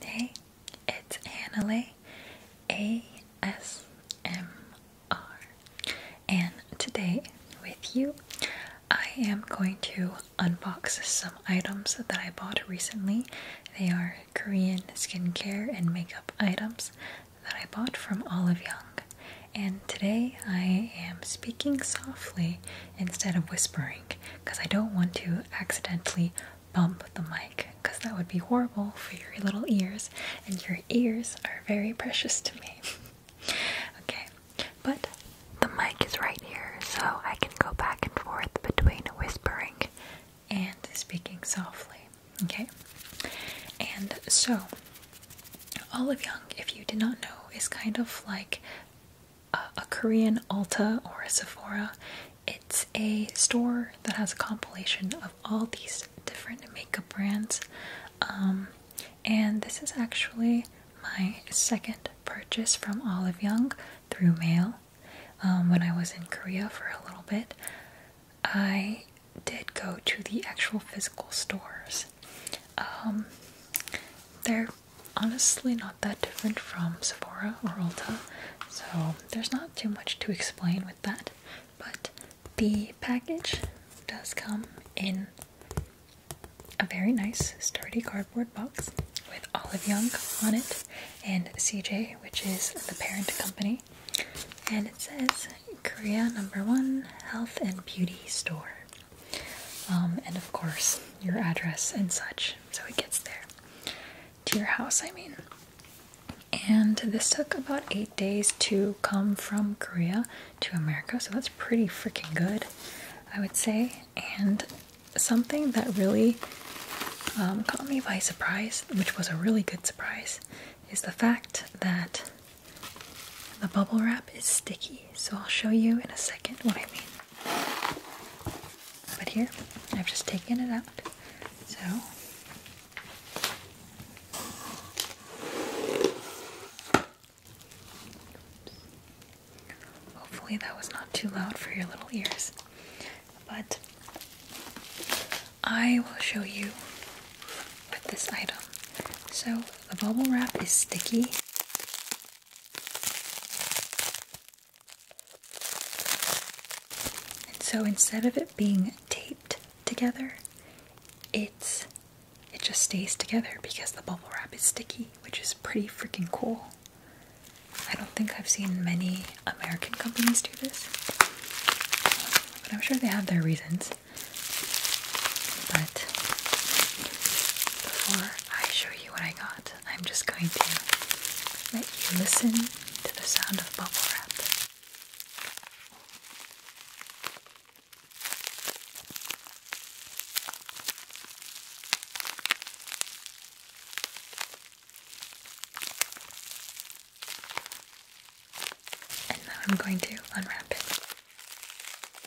Hey, it's Annalee ASMR, and today with you, I am going to unbox some items that I bought recently. They are Korean skincare and makeup items that I bought from Olive Young, and today I am speaking softly instead of whispering because I don't want to accidentally bump the mic because that would be horrible for your little ears, and your ears are very precious to me. okay, but the mic is right here, so I can go back and forth between whispering and speaking softly. Okay, and so Olive Young, if you did not know, is kind of like a, Korean Ulta or a Sephora. It's a store that has a compilation of all these different makeup brands. Um, and this is actually my second purchase from Olive Young through mail. Um, when I was in Korea for a little bit, I did go to the actual physical stores. Um, they're honestly not that different from Sephora or Ulta, so there's not too much to explain with that. But the package does come in a very nice, sturdy cardboard box with Olive Young on it and CJ, which is the parent company. And it says Korea number one health and beauty store. Um, and of course your address and such, so it gets there to your house, I mean. And this took about eight days to come from Korea to America, so that's pretty freaking good, I would say. And something that really um, caught me by surprise, which was a really good surprise, is the fact that the bubble wrap is sticky, so I'll show you in a second what I mean. But here, I've just taken it out. So, hopefully that was not too loud for your little ears. But I will show you with this item. So the bubble wrap is sticky. And so instead of it being taped together, it's it just stays together because the bubble wrap is sticky, which is pretty freaking cool. I don't think I've seen many American companies do this. But I'm sure they have their reasons. But before I show you what I got, I'm just going to let you listen to the sound of bubble wrap. And now I'm going to unwrap it.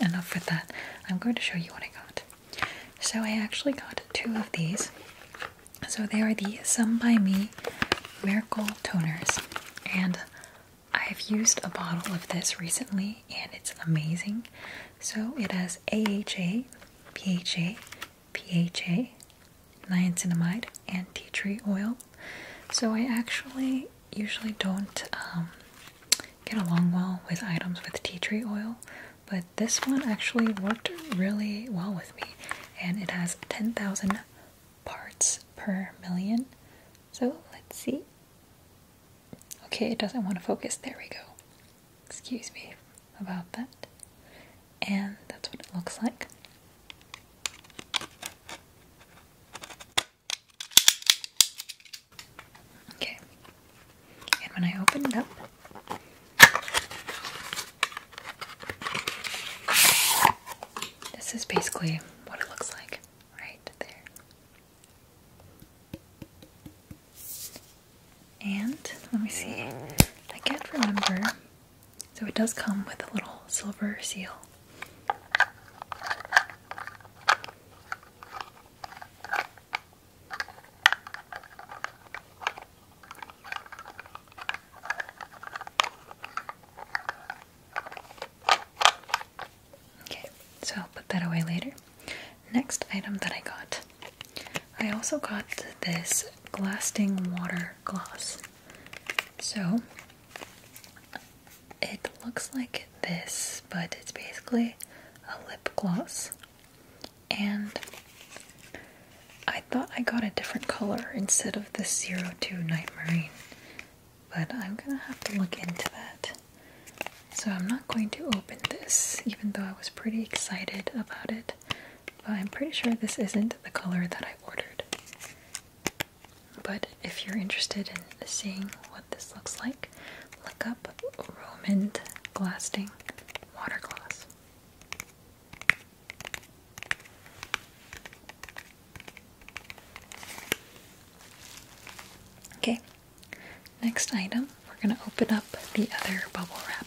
Enough with that. I'm going to show you what I got. So I actually got two of these. So they are the Some By Me Miracle Toners. And I've used a bottle of this recently and it's amazing. So it has AHA, PHA, PHA, niacinamide, and tea tree oil. So I actually usually don't um, get along well with items with tea tree oil, but this one actually worked really well with me, and it has 10,000 parts per million. So let's see. Okay, it doesn't want to focus. There we go. Excuse me about that. And that's what it looks like. Okay. And when I open it up, this is basically what it looks like right there. And let me see. I can't remember. So it does come with a little silver seal. Okay, so I'll put that away later. Next item that I got. I also got this Glasting Water Gloss. So, it looks like this, but it's basically a lip gloss. And I thought I got a different color instead of the 02 Night Marine, but I'm gonna have to look into that. So I'm not going to open this, even though I was pretty excited about it. But I'm pretty sure this isn't the color that I ordered. But if you're interested in seeing what this looks like, look up Roman Glasting Water glass. Okay, Next item, we're going to open up the other bubble wrap.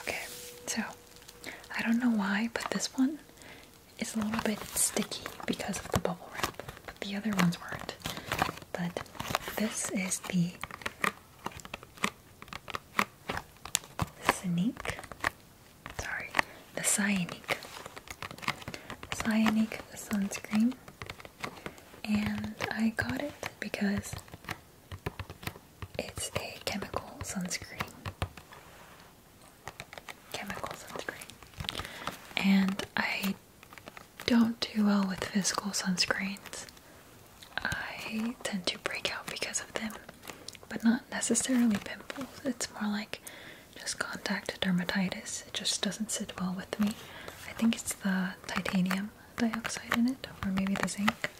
Okay, so I don't know why, but this one is a little bit sticky because of the bubble wrap but the other ones weren't. But this is the Cyanique. Sorry, the Cyanique. Cyanique sunscreen. And I got it because it's a chemical sunscreen. Chemical sunscreen. And I don't do well with physical sunscreens. I tend to break out because of them, but not necessarily pimples. It's more like just contact dermatitis. It just doesn't sit well with me. I think it's the titanium dioxide in it, or maybe the zinc.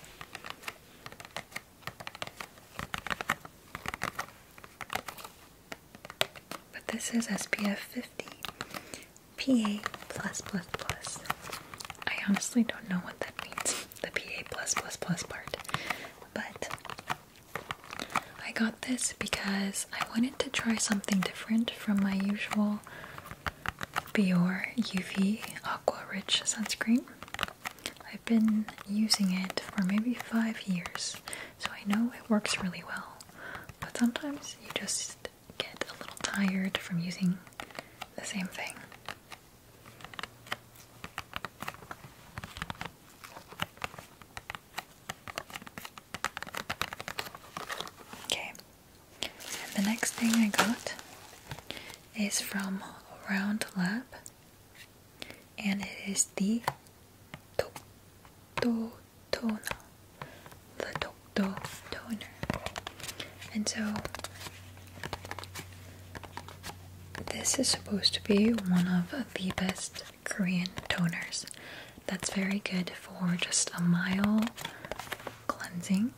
But this is SPF 50, PA plus plus plus. I honestly don't know what that means, the PA plus plus plus part. But I got this because I wanted to try something different from my usual Bior UV Aqua Rich sunscreen. I've been using it for maybe five years, so I know it works really well. But sometimes you just might get a little tired from using the same thing. Okay, the next thing I got is from Round Lab, and it is the 독도 toner, the 독도 toner, and so this is supposed to be one of the best Korean toners. That's very good for just a mild cleansing,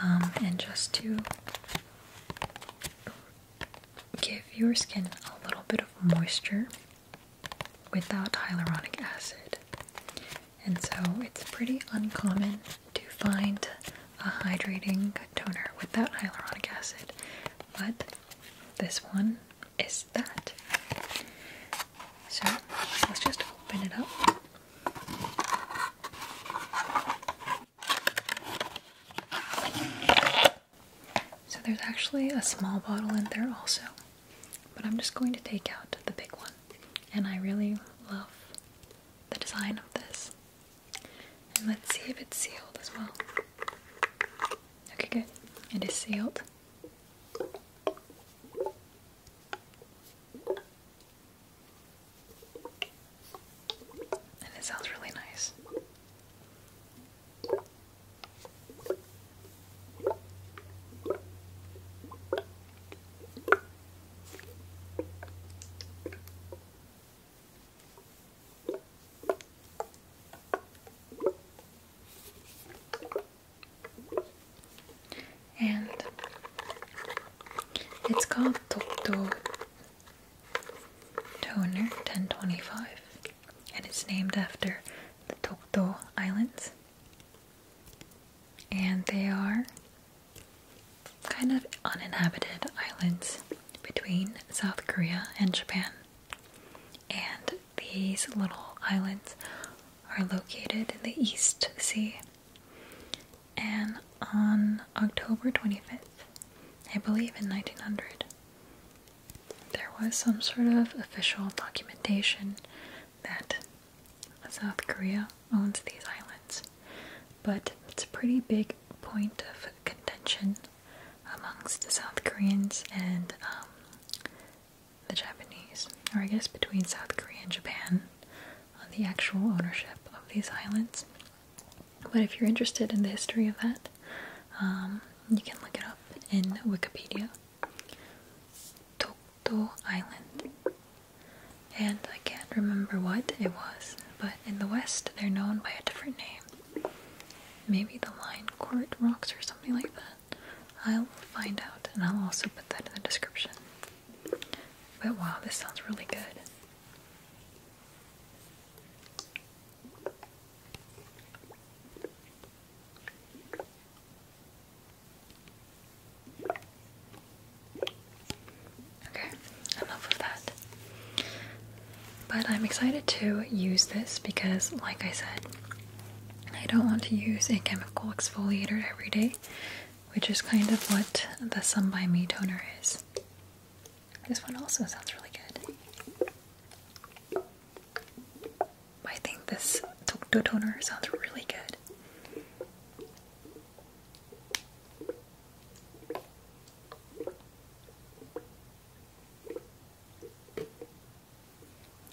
and just to give your skin a little bit of moisture without hyaluronic acid. And so it's pretty uncommon to find a hydrating toner without hyaluronic acid, but this one is that. So let's just open it up. So there's actually a small bottle in there also. But I'm just going to take out the big one. And I really love the design of this. And let's see if it's sealed as well. Okay, good. It is sealed. And it sounds really nice. And it's called Tokto Toner 1025 and it's named after the Tokdo Islands. And they are kind of uninhabited islands between South Korea and Japan. And these little islands are located in the East Sea. And on October 25th, I believe in 1900, there was some sort of official documentation that South Korea owns these islands, but it's a pretty big point of contention amongst the South Koreans and um, the Japanese, or I guess between South Korea and Japan, on the actual ownership of these islands. But if you're interested in the history of that, um, you can look it up in Wikipedia. Tokto Island. And I can't remember what it was, but in the West they're known by a different name. Maybe the Lion Court Rocks or something like that. I'll find out and I'll also put that in the description. But wow, this sounds really good. Okay, enough of that. But I'm excited to use this because, like I said, I don't want to use a chemical exfoliator every day, which is kind of what the Sun By Me toner is. This one also sounds really good. I think this Tokto toner sounds really good.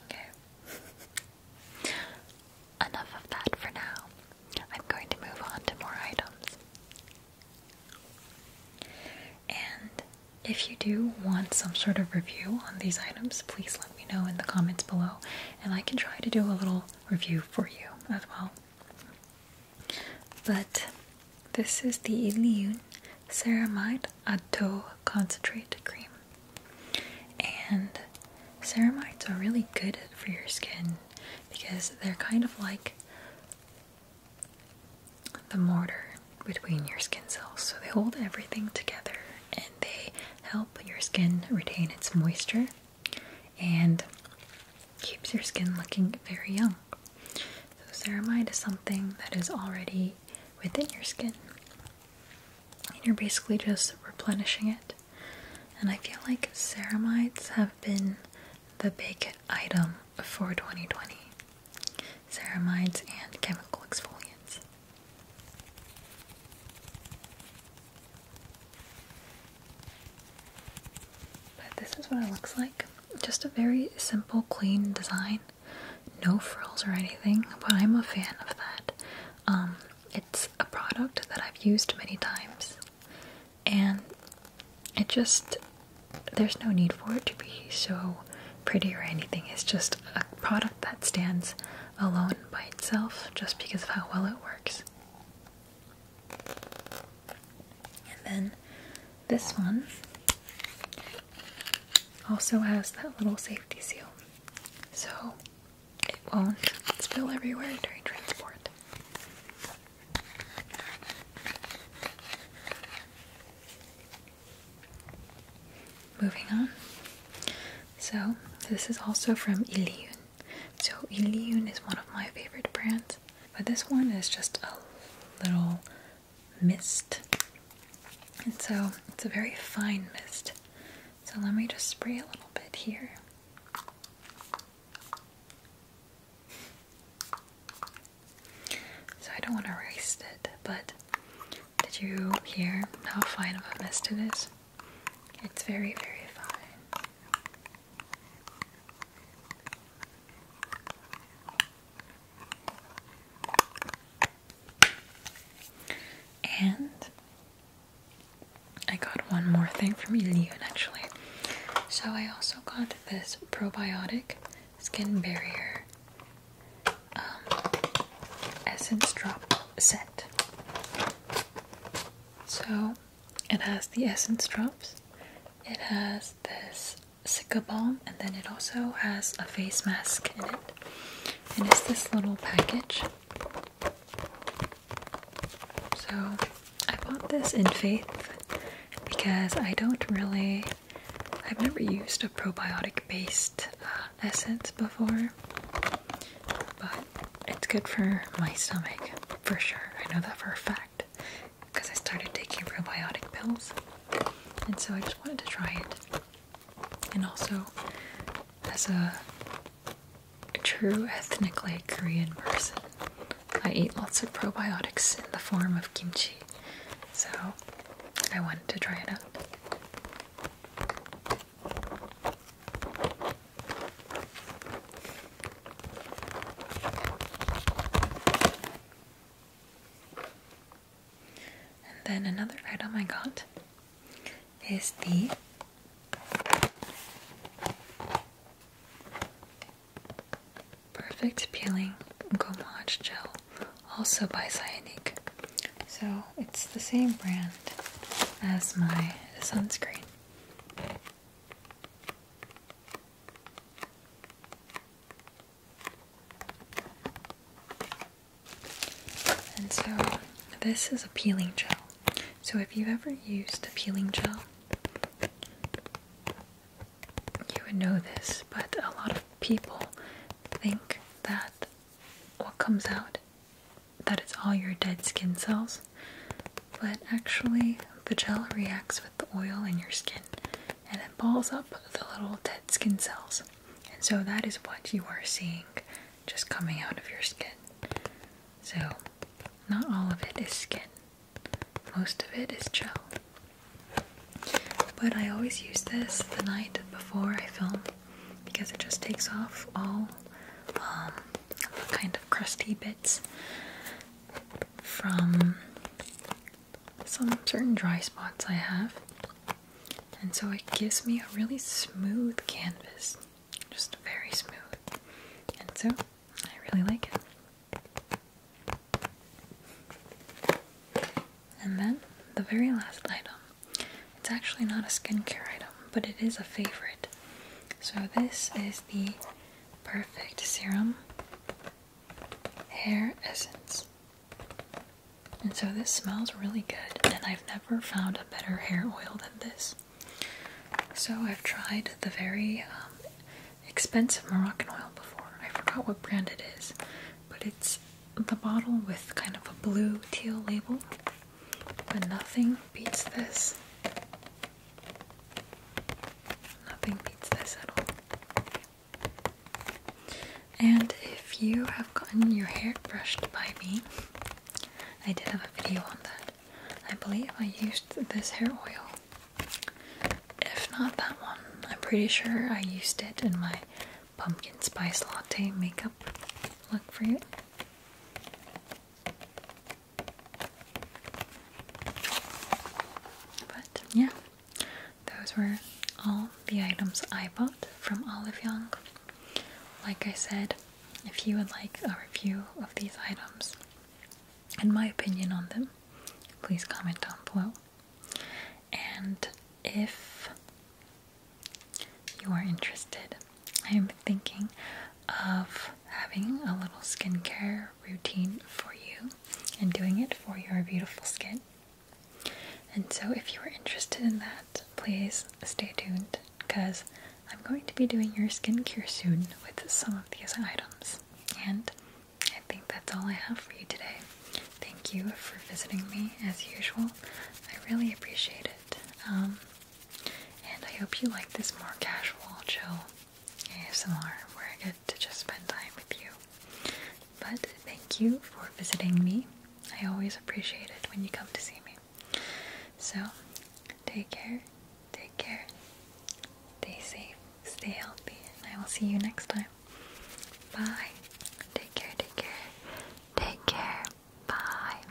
Okay. Enough of that for now. I'm going to move on to more items. And if you do want some sort of review on these items, please let me know in the comments below, and I can try to do a little review for you as well. But this is the Ilion Ceramide Atto Concentrate Cream. And ceramides are really good for your skin because they're kind of like the mortar between your skin cells. So they hold everything together and they help your skin retain its moisture and keeps your skin looking very young. So ceramide is something that is already within your skin. And you're basically just replenishing it. And I feel like ceramides have been the big item for 2020 ceramides, and chemical exfoliants. But this is what it looks like. Just a very simple, clean design. No frills or anything, but I'm a fan of that. Um, it's a product that I've used many times, and it just there's no need for it to be so pretty or anything. It's just a product that stands alone by itself just because of how well it works. And then this one also has that little safety seal. So it won't spill everywhere during transport. Moving on. So, this is also from Iliyun. So, Iliyun is one of my favorite brands, but this one is just a little mist. And so, it's a very fine mist. So, let me just spray a little bit here. So I don't want to waste it, but did you hear how fine of a mist it is? It's very, very fine. And I got one more thing from Ilion actually. So I also got this probiotic skin barrier um, essence drop set. So it has the essence drops, it has this Sika balm, and then it also has a face mask in it. And it's this little package. So I bought this in faith because I don't really I've never used a probiotic based uh, essence before, but it's good for my stomach for sure. I know that for a fact because I started taking probiotic pills, and so I just wanted to try it. And also, as a true ethnically Korean person, I eat lots of probiotics in the form of kimchi, so I wanted to try it out. And then another item I got is the Perfect Peeling Gommage Gel, also by Cyanique. So it's the same brand as my sunscreen. And so this is a peeling gel. So if you've ever used a peeling gel, you would know this, but a lot of people think that what comes out that it's all your dead skin cells, but actually the gel reacts with the oil in your skin and it balls up the little dead skin cells. And so that is what you are seeing just coming out of your skin. So not all of it is skin. Most of it is gel. But I always use this the night before I film because it just takes off all um, kind of crusty bits from some certain dry spots I have. And so it gives me a really smooth canvas. Just very smooth. And so I really like it. And then the very last item. It's actually not a skincare item, but it is a favorite. So this is the Perfect Serum Hair Essence. And so this smells really good, and I've never found a better hair oil than this. So I've tried the very um, expensive Moroccan oil before. I forgot what brand it is, but it's the bottle with kind of a blue teal label. But nothing beats this. Nothing beats this at all. And if you have gotten your hair brushed by me, I did have a video on that. I believe I used this hair oil if not that one, I'm pretty sure I used it in my pumpkin spice latte makeup look for you. But yeah, those were all the items I bought from Olive Young. Like I said, if you would like a review of these items and my opinion on them, please comment down below. And if you are interested, I am thinking of having a little skincare routine for you and doing it for your beautiful skin. And so, if you are interested in that, please stay tuned because I'm going to be doing your skincare soon with some of these items. And I think that's all I have for you today. Thank you for visiting me as usual. I really appreciate it. Um, and I hope you like this more casual, chill ASMR where I get to just spend time with you. But thank you for visiting me. I always appreciate it when you come to see me. So, take care Take care. Stay safe. Stay healthy. And I will see you next time. Bye. Take care. Take care. Take care. Bye.